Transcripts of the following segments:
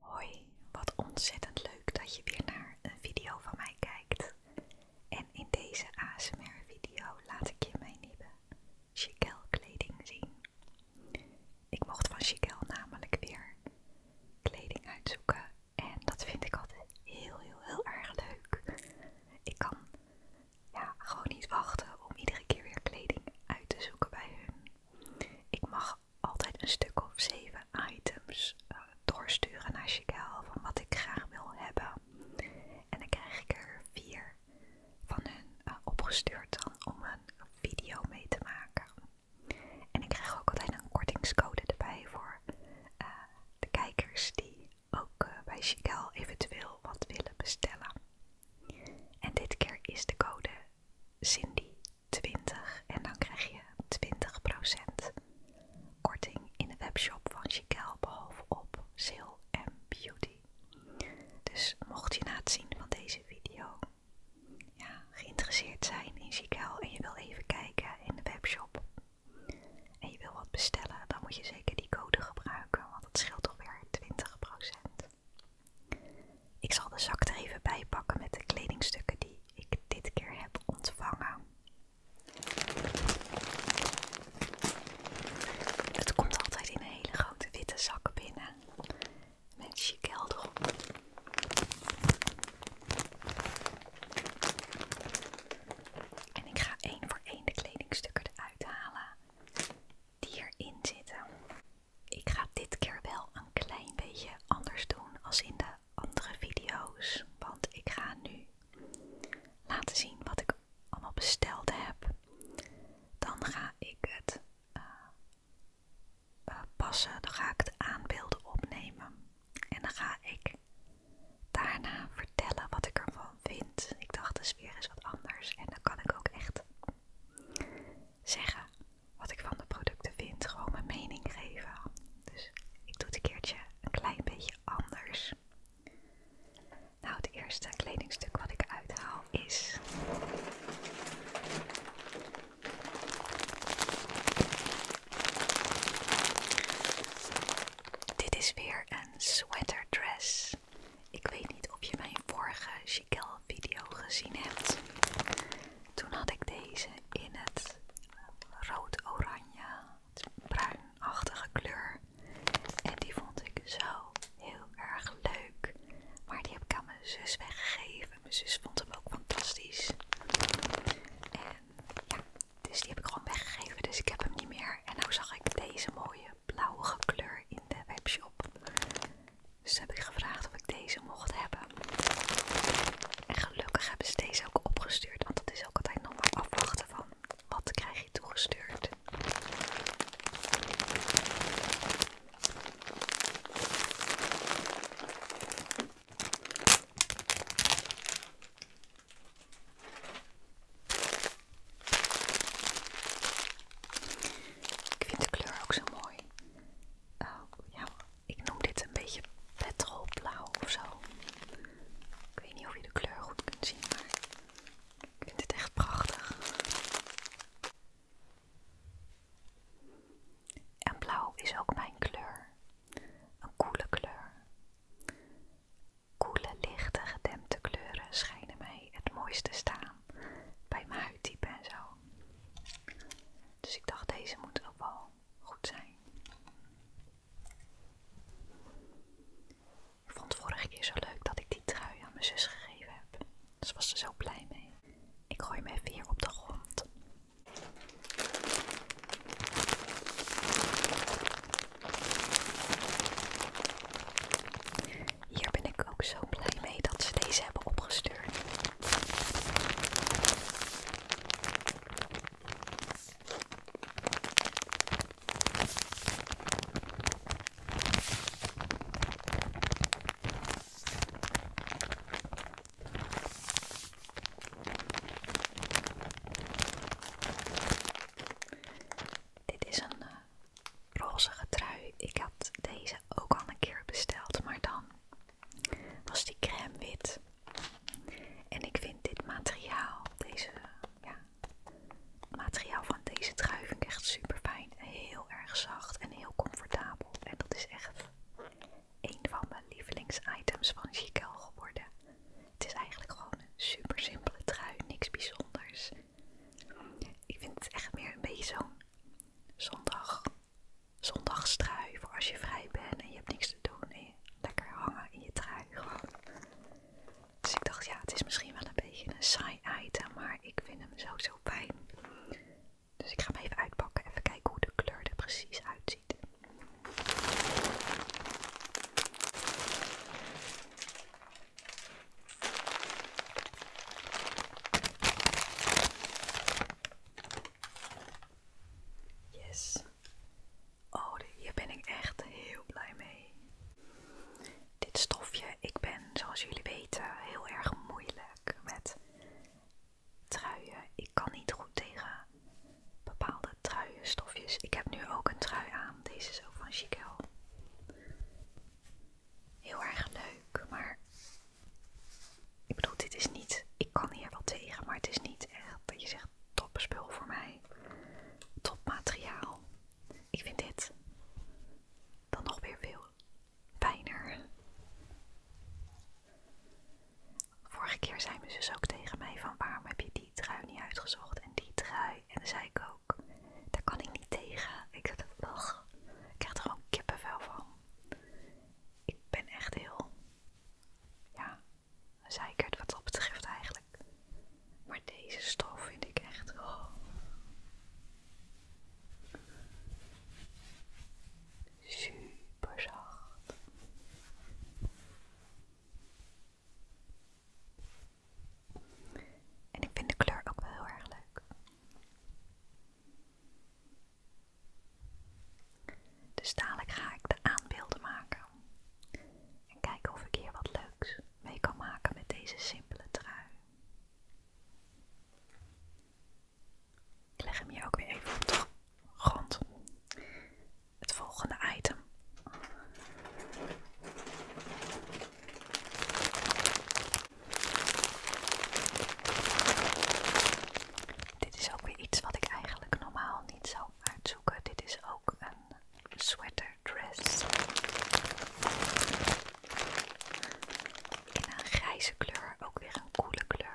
Hoi, wat ontzettend leuk dat je weer naar een video van mij kijkt. En in deze ASMR video laat ik je mijn nieuwe Chiquel kleding zien. Ik mocht van Chiquel namelijk weer kleding uitzoeken en dat vind ik altijd heel heel heel erg leuk. Ik kan ja, gewoon niet wachten om iedere keer weer kleding uit te zoeken bij hun. Ik mag altijd een stuk of zeven items eh, doorsturen naar Chicago van wat ik graag wil hebben. En dan krijg ik er vier van hun eh, opgestuurd dan om een video mee te maken. En ik krijg ook altijd een kortingscode erbij voor eh, de kijkers die ook bij Chicago eventueel wat willen bestellen. En dit keer is de code Cindy 20 en dan krijg je 20% korting in de webshop van Chicago behalve op Sale Beauty. Dus mocht je na het zien van deze video geïnteresseerd zijn in Chicago en je wil even kijken in de webshop en je wil wat bestellen, dan moet je zeker die code gebruiken, want het scheelt toch weer 20%. Ik zal de zak er even bij pakken met de kledingstukken die ik dit keer heb ontvangen. Het komt altijd in een hele grote witte zak binnen met chiquel erop. En ik ga één voor één de kledingstukken eruit halen die erin zitten. Ik ga dit keer wel een klein beetje anders doen als in de andere video's. Want ik ga nu laten zien wat ik allemaal besteld heb. Dan ga ik het eh, eh, passen, dan ga ik de aanbeelden opnemen. En dan ga ik daarna vertellen wat ik ervan vind. Ik dacht, de sfeer is wat anders. En dan kan ik ook echt zeggen wat ik van de producten vind, gewoon mijn mening geven. Dus ik doe het een keertje een klein beetje anders. Nou, het eerste kledingstuk wat ik uithaal is. Dit is weer een sweaterdress. Ik weet niet of je mijn vorige Chicelle video gezien hebt. Toen had ik deze in het rood-oranje, bruinachtige kleur. En die vond ik zo heel erg leuk. Maar die heb ik aan mijn zus weggegeven. Mijn zus vond hem ook fantastisch. En ja, dus die heb ik gewoon weggegeven. Dus ik heb hem niet meer. En nou zag ik deze mooie blauwe kleur in de webshop. Dus heb ik gevraagd of ik deze mocht hebben. En gelukkig hebben ze deze ook opgestuurd, want dat is ook altijd nog maar afwachten van wat krijg je toegestuurd. Ik vind de kleur ook zo mooi. Oh, ja, ik noem dit een beetje petrolblauw of zo. Ik weet niet of je de kleur goed kunt zien, maar ik vind dit echt prachtig. En blauw is ook mijn kleur. Een koele kleur. Koele, lichte, gedempte kleuren schijnen mij het mooiste staan bij mijn huidtype en zo. Dus ik dacht, deze moet ook wel goed zijn. Ik vond het vorige keer zo leuk dat ik die trui aan mijn zus gegeven heb. Dus was ze zo blij mee. Ik gooi hem even hier op de grond. Hier ben ik ook zo blij mee dat ze deze hebben opgestuurd. Dit is een eh, roze trui. Ik had deze ook al een keer besteld, maar dan was die crème wit. En ik vind dit materiaal, deze, ja, materiaal van deze trui vind ik echt super fijn. Heel erg zacht en heel comfortabel. En dat is echt een van mijn lievelingsitems van Chiquel geworden. Het is eigenlijk gewoon een super simpele trui, niks bijzonders. Ik vind het echt meer een beetje zo'n zondag zondagstrui voor als je vrij bent en je hebt niks te doen. En je lekker hangen in je trui gewoon. Dus ik dacht, ja, het is misschien wel een beetje een saai item, maar ik vind hem zo zo fijn. Dus ik ga hem even uitpakken, even kijken hoe de kleur er precies uitziet. Yes. Oh, hier ben ik echt heel blij mee. Dit stofje, ik ben zoals jullie weten heel erg moeilijk met truien. Ik kan niet goed tegen bepaalde truienstofjes. Ik heb nu ook een trui aan. Deze is ook van Chiquel. Heel erg leuk, maar ik bedoel, dit is niet. Ik kan hier wel tegen, maar het is niet echt dat je zegt topspul voor mij. Top materiaal. Ik vind dit dan nog weer veel fijner. Vorige keer zei mijn zus ook tegen mij van waarom heb je die trui niet uitgezocht en die trui. En dan zei ik ook, daar kan ik niet tegen. Ik dacht, ach, ik krijg er gewoon kippenvel van ik ben echt heel, ja, wat dat betreft eigenlijk. Maar deze stof vind ik echt, oh. Super zacht. En ik vind de kleur ook wel heel erg leuk. Dus dadelijk ga ik de aanbeelden maken. En kijken of ik hier wat leuks mee kan maken met deze simpele trui. Ik leg hem hier ook weer even op de grond. Het volgende item. Dit is ook weer iets wat ik eigenlijk normaal niet zou uitzoeken. Dit is ook een sweaterdress In een grijze kleur, ook weer een koele kleur.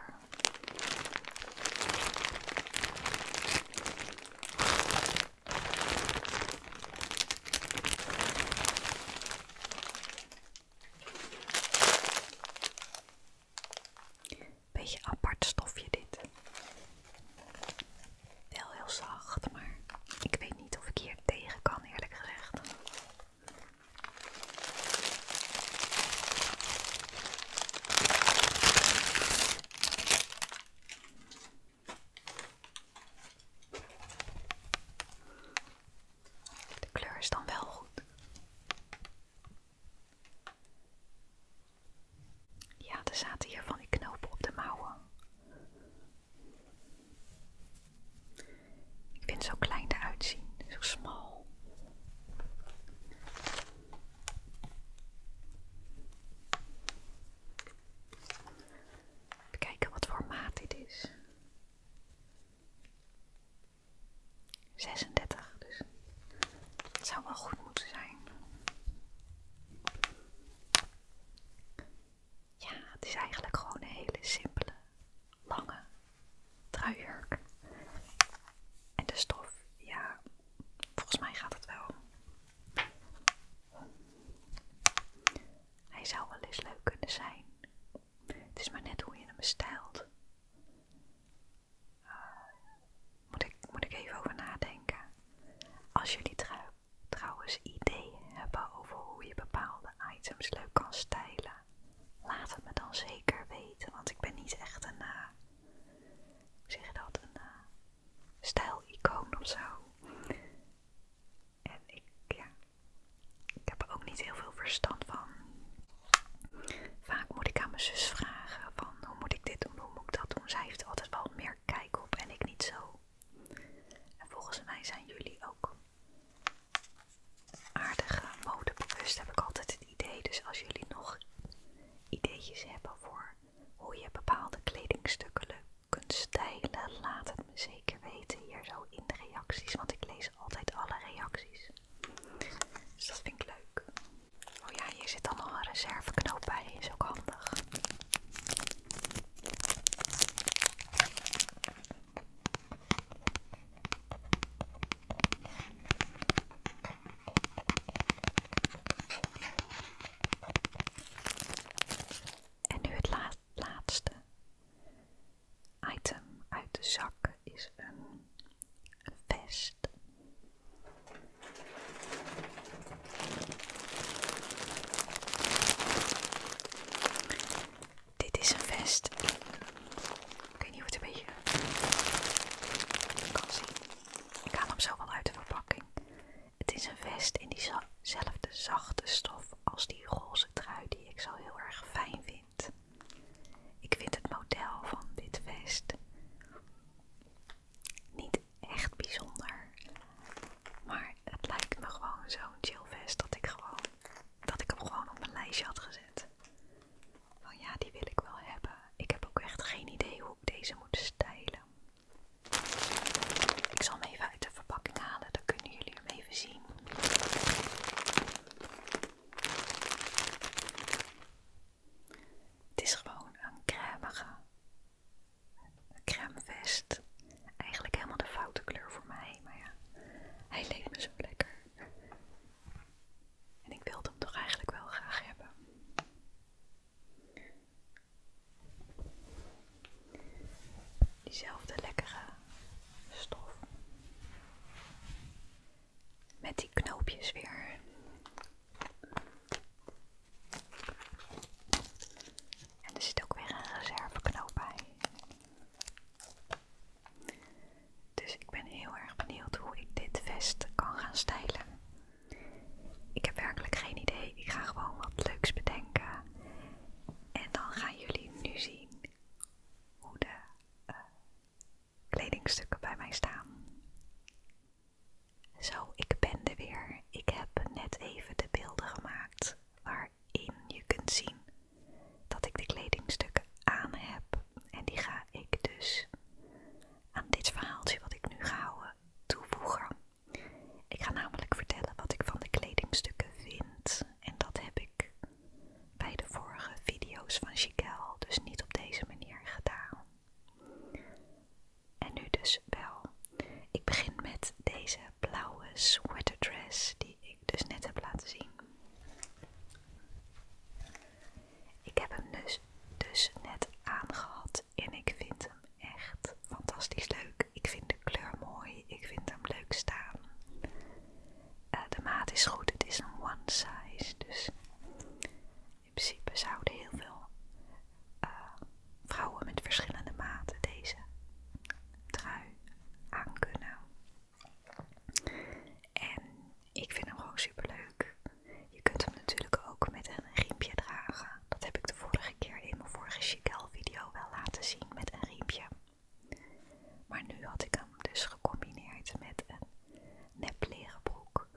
Beetje apart stofje dit. Wel heel zacht, maar ik weet niet of ik hier tegen kan eerlijk gezegd. De kleur is dan wel goed. Ja, er zaten hier van die knopen op de mouwen. Ik vind het zo klein eruit zien, zo smal. Even kijken wat voor maat dit is. 36, dus dat zou wel goed moeten zijn. Ja, het is eigenlijk gewoon een hele simpele, lange truijurk. En de stof, ja, volgens mij gaat het wel. Hij zou wel eens leuk kunnen zijn. Het is maar net hoe je hem bestelt. Moet ik, moet ik even over nadenken. Als jullie trouwens ideeën hebben over hoe je bepaalde items leuk kan stijlen, laat het me dan zeker weten. Want ik ben niet echt een, eh, hoe zeg je dat, een eh, stijlicoon of zo. En ik, ik heb ook niet heel veel verstand van. Vaak moet ik aan mijn zus vragen van hoe moet ik dit doen, hoe moet ik dat doen. Zij heeft altijd wel meer kijk op en ik niet zo. En volgens mij zijn jullie ook aardige modebewust, heb ik altijd het idee. Dus als jullie nog ideetjes hebben voor hoe je bepaalde kledingstukken kunt stijlen, laat het me zeker weten hier zo in de reacties, want ik lees altijd alle reacties. Dus dat vind ik leuk. Oh ja, hier zit dan nog een reserveknoop bij. Is ook handig. En nu het laatste item uit de zak is een, vest. Dit is een vest. ik weet niet hoe het een beetje kan zien. Ik haal hem zo wel uit de verpakking. Het is een vest in diezelfde zachte stof als die roze trui die ik zo heel erg fijn vind. Ik vind het model van dit vest niet echt bijzonder, maar het lijkt me gewoon zo'n chill vest dat ik, gewoon, dat ik hem gewoon op mijn lijstje had gezet. Van ja, die wil ik wel hebben. Ik heb ook echt geen idee hoe ik deze moet stijlen. Ik zal hem even uit de verpakking halen, dan kunnen jullie hem even zien. Het is gewoon een crèmige crème Eigenlijk helemaal de foute kleur voor mij, maar ja, hij leek me zo lekker. En ik wilde hem toch eigenlijk wel graag hebben. Diezelfde lekkere stof. Met die knoopjes weer. En er zit ook weer een reserveknoop bij. Dus ik ben heel erg benieuwd hoe ik dit vest kan gaan stijlen. Ik heb werkelijk geen idee. Ik ga gewoon wat leuks bedenken. En dan gaan jullie nu zien hoe de eh, kledingstukken bij mij staan. Zo, ik ben er weer. Ik heb net even de beelden gemaakt waarin je kunt zien dat ik de kledingstukken aan heb. En die ga ik dus aan dit verhaaltje wat ik nu ga houden toevoegen. Ik ga namelijk vertellen wat ik van de kledingstukken vind. En dat heb ik bij de vorige video's van Chiquel, dus niet op deze manier gedaan. En nu dus wel. Ik begin met deze blauwe sweaterdress die ik dus net heb laten zien. Ik heb hem dus, dus net aangehad en ik vind hem echt fantastisch leuk. Ik vind de kleur mooi, ik vind hem leuk staan. Eh, de maat is goed, het is een one size. Dus in principe zouden heel veel eh, vrouwen met verschillende maten deze trui aan kunnen. En ik vind hem gewoon super leuk. Je kunt hem natuurlijk ook met een riempje dragen. Dat heb ik de vorige keer in mijn vorige Chiquel video wel laten zien met een riempje. Maar nu had ik hem dus gecombineerd met een nep leren broek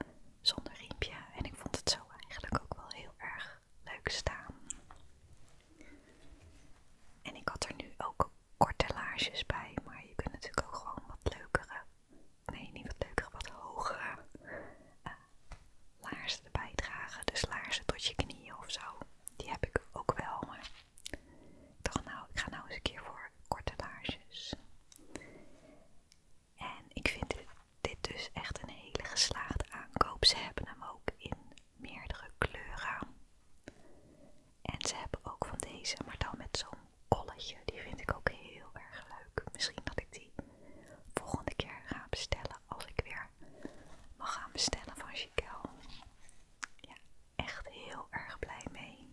zonder riempje. En ik vond het zo eigenlijk ook wel heel erg leuk staan. En ik had er nu ook korte laarsjes bij, maar je kunt natuurlijk ook gewoon wat leukere, nee niet wat leukere, wat hogere eh, laarzen erbij dragen. Dus laarzen tot je knieën of zo. Die heb ik ook wel, maar ik nou, ik ga nou eens een keer voor korte laarsjes. En ik vind dit, dus echt een hele geslaagde aankoop. Ze hebben hem ook in meerdere kleuren. En ze hebben ook van deze, maar dan met zo'n kolletje. Die vind ik ook heel erg leuk. Misschien dat ik die volgende keer ga bestellen als ik weer mag gaan bestellen van Chiquel. Ja, echt heel erg blij mee.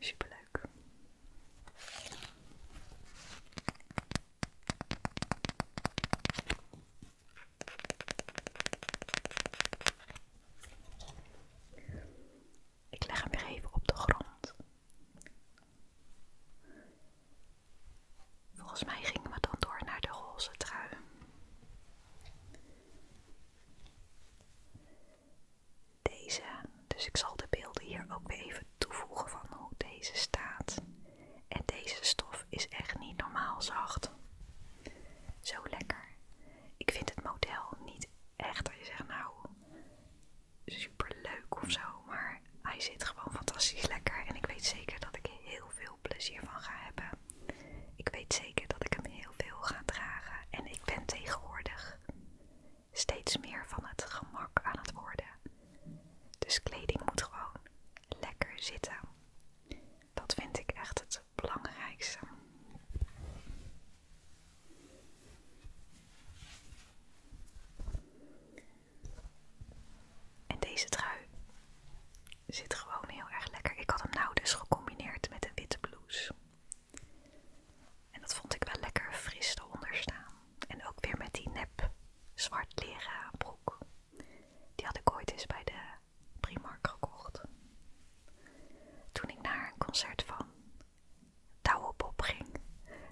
Superleuk. Ik leg hem weer even op de grond. Volgens mij gingen we dan door naar de roze trui. Deze, dus ik zal de beelden hier ook weer even toevoegen van hoe deze staat. En deze stof is echt niet normaal zacht. Zo lekker. Ik vind het model niet echt dat je zegt nou super leuk of zo, maar hij zit gewoon fantastisch lekker en ik weet zeker dat ik heel veel plezier van gaan hebben. Ik weet zeker dat ik hem heel veel ga dragen en ik ben tegenwoordig steeds meer van het gemak aan het worden. Dus kleding moet gewoon lekker zitten. Dat vind ik echt het belangrijkste. En deze trui Zit gewoon heel erg lekker. Ik had hem nou dus gecombineerd met een witte blouse. En dat vond ik wel lekker fris te onderstaan. En ook weer met die nep zwart leren broek. Die had ik ooit eens bij de Primark gekocht. Toen ik naar een concert van Douwe Bob ging,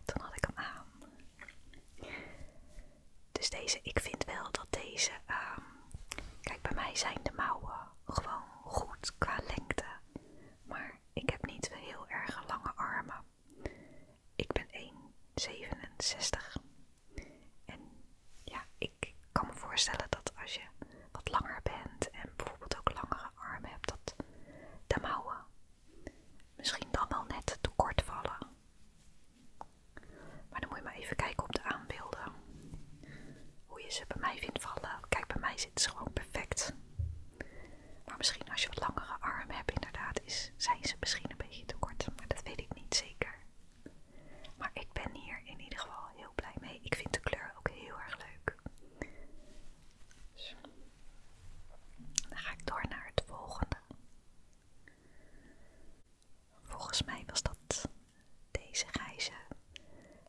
toen had ik hem aan. Dus deze, ik vind wel dat deze, ehm, kijk bij mij zijn de mouwen gewoon goed qua lengte. Maar ik heb niet heel erg lange armen. Ik ben 1,67. En ja, ik kan me voorstellen dat als je wat langer bent en bijvoorbeeld ook langere armen hebt, dat de mouwen misschien dan wel net te kort vallen. Maar dan moet je maar even kijken op de aanbeelden. Hoe je ze bij mij vindt vallen. Kijk, bij mij zit ze gewoon perfect. Maar misschien als je wat langere armen hebt, inderdaad, is, zijn ze misschien een beetje te kort. Maar dat weet ik niet zeker. Maar ik ben hier in ieder geval heel blij mee. Ik vind de kleur ook heel erg leuk. Dus, dan ga ik door naar het volgende. Volgens mij was dat deze grijze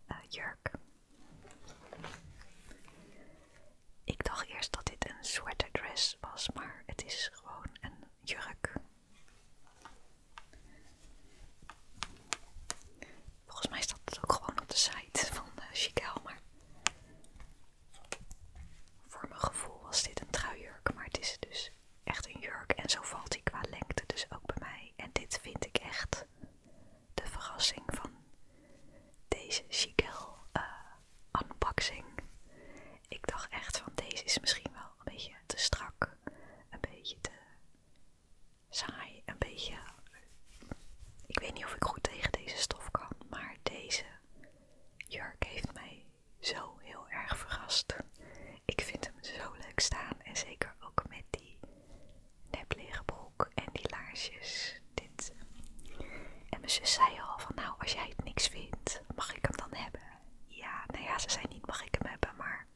eh, jurk. Ik dacht eerst dat dit een sweaterdress was, maar het is gewoon een jurk. Volgens mij staat het ook gewoon op de site van uh, eh, Chiquel, maar voor mijn gevoel was dit een jurk, maar het is dus echt een jurk en zo valt hij qua lengte dus ook bij mij. En dit vind ik echt de verrassing van deze Chiquel eh, unboxing. Ik dacht echt van deze is misschien wel een beetje te strak, een beetje te saai, een beetje... Ik weet niet of ik goed tegen deze stof kan, maar deze jurk heeft mij zo heel erg verrast. Ik vind hem zo leuk staan en zeker ook met die nepleren broek en die laarsjes. Dit. En mijn zus zei al van nou als jij het niks vindt, mag ik hem dan hebben? Ja, nou ja, ze zei niet mag ik hem hebben, maar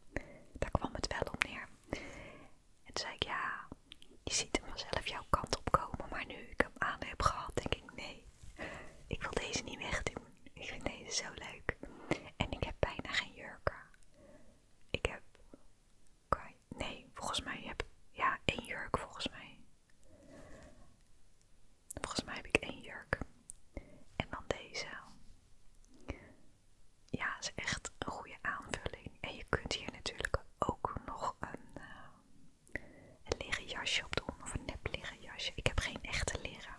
daar kwam het wel op neer. En toen zei ik ja, je ziet hem zelf jouw kant op komen, maar nu ik hem aan heb gehad, denk ik nee, ik wil deze niet wegdoen. Ik vind deze zo leuk. En ik heb bijna geen jurken. Ik heb... Nee, volgens mij heb ik... Ja, één jurk volgens mij. Volgens mij heb ik één jurk. En dan deze. Ja, is echt een goede aanvulling. En je kunt hier natuurlijk ook nog een, eh, leren jasje op doen. Of een nep leren jasje. Ik heb geen echte leren.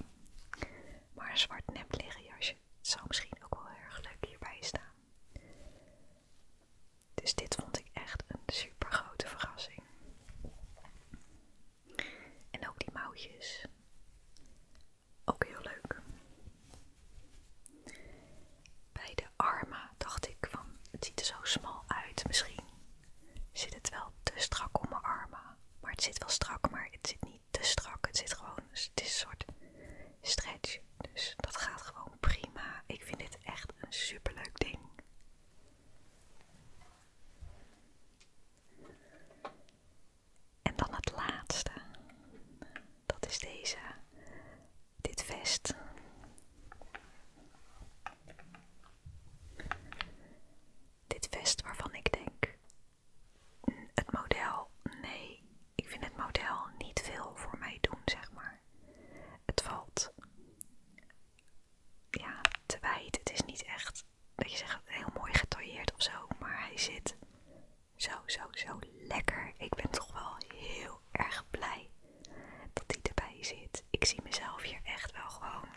Maar een zwart nep leren jasje zou misschien ook wel erg leuk hierbij staan. Dus dit vond ik echt een super grote verrassing. En ook die mouwtjes. Ook heel leuk. Bij de armen dacht ik van het ziet er zo smal uit. Misschien zit het wel te strak om mijn armen. Maar het zit wel strak, maar het zit niet te strak. Het zit gewoon, het is een soort stretch. Dus dat gaat gewoon prima. Ik vind dit echt een superleuk ding. En dan het laatste. Dat is deze. Dit vest. Dit vest waarvan ik denk het model, nee, ik vind het model niet veel voor mij doen, zeg maar. Het valt ja, te wijd. Het is niet echt dat je zegt heel mooi getailleerd of zo, maar hij zit zo, zo, zo lekker. Ik ben toch wel heel erg blij dat hij erbij zit. Ik zie mezelf hier echt wel gewoon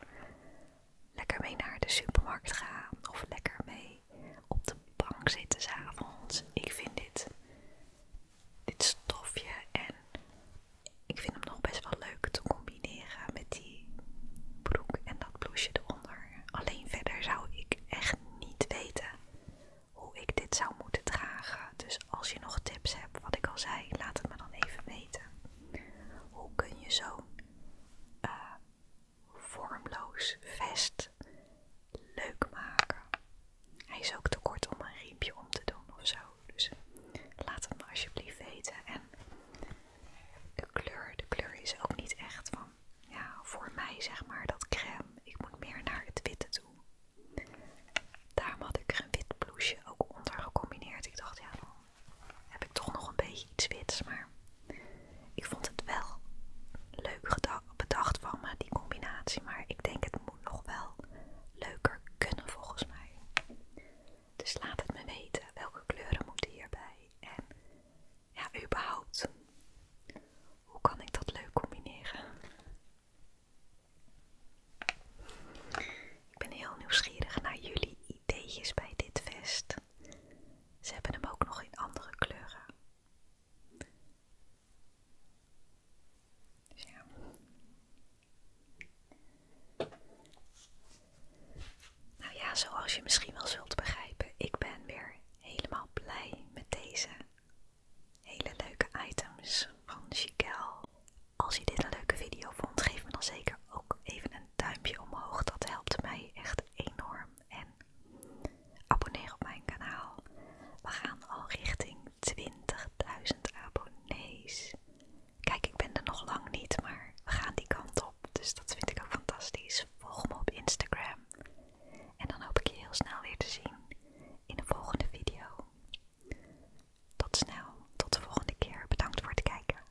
lekker mee naar de supermarkt gaan of lekker mee op de bank zitten s'avonds. Ik vind dit, dit stofje en ik vind hem nog best wel leuk te combineren met die broek en dat blouseje eronder. Alleen verder zou ik echt niet weten hoe ik dit zou moeten dragen. Dus als je nog tips hebt, wat ik al zei, laat het me dan even weten. Hoe kun je zo? Eh, vormloos vest leuk maken. Hij is ook te kort om een riempje om te doen of zo. Dus eh, laat het me alsjeblieft weten. En de kleur, de kleur is ook niet echt van, ja, voor mij zeg maar dat crème. Ik moet meer naar het witte toe. Daarom had ik een wit blouseje ook onder gecombineerd. Ik dacht, ja, dan heb ik toch nog een beetje iets wits. Maar ik vond het wel leuk bedacht van me, die combinatie. Maar ik denk het moet nog wel leuker kunnen volgens mij. Dus laat het me weten welke kleuren moeten hierbij. En ja, überhaupt, hoe kan ik dat leuk combineren? Ik ben heel nieuwsgierig naar jullie ideetjes bij dit vest. Ze hebben hem ook nog in andere kleuren. Dus ja. Nou ja, zoals je misschien wel zult begrijpen, ik ben weer helemaal blij met deze hele leuke items van Chiquel. Als je dit een leuke video vond, geef me dan zeker ook even een duimpje omhoog. Dat helpt mij echt enorm en abonneer op mijn kanaal. We gaan al richting 20.000 abonnees. Kijk, ik ben er nog lang niet, maar we gaan die kant op. Dus dat vind ik ook fantastisch. Volg me op Instagram. En dan hoop ik je heel snel weer te zien in de volgende video. Tot snel, tot de volgende keer. Bedankt voor het kijken.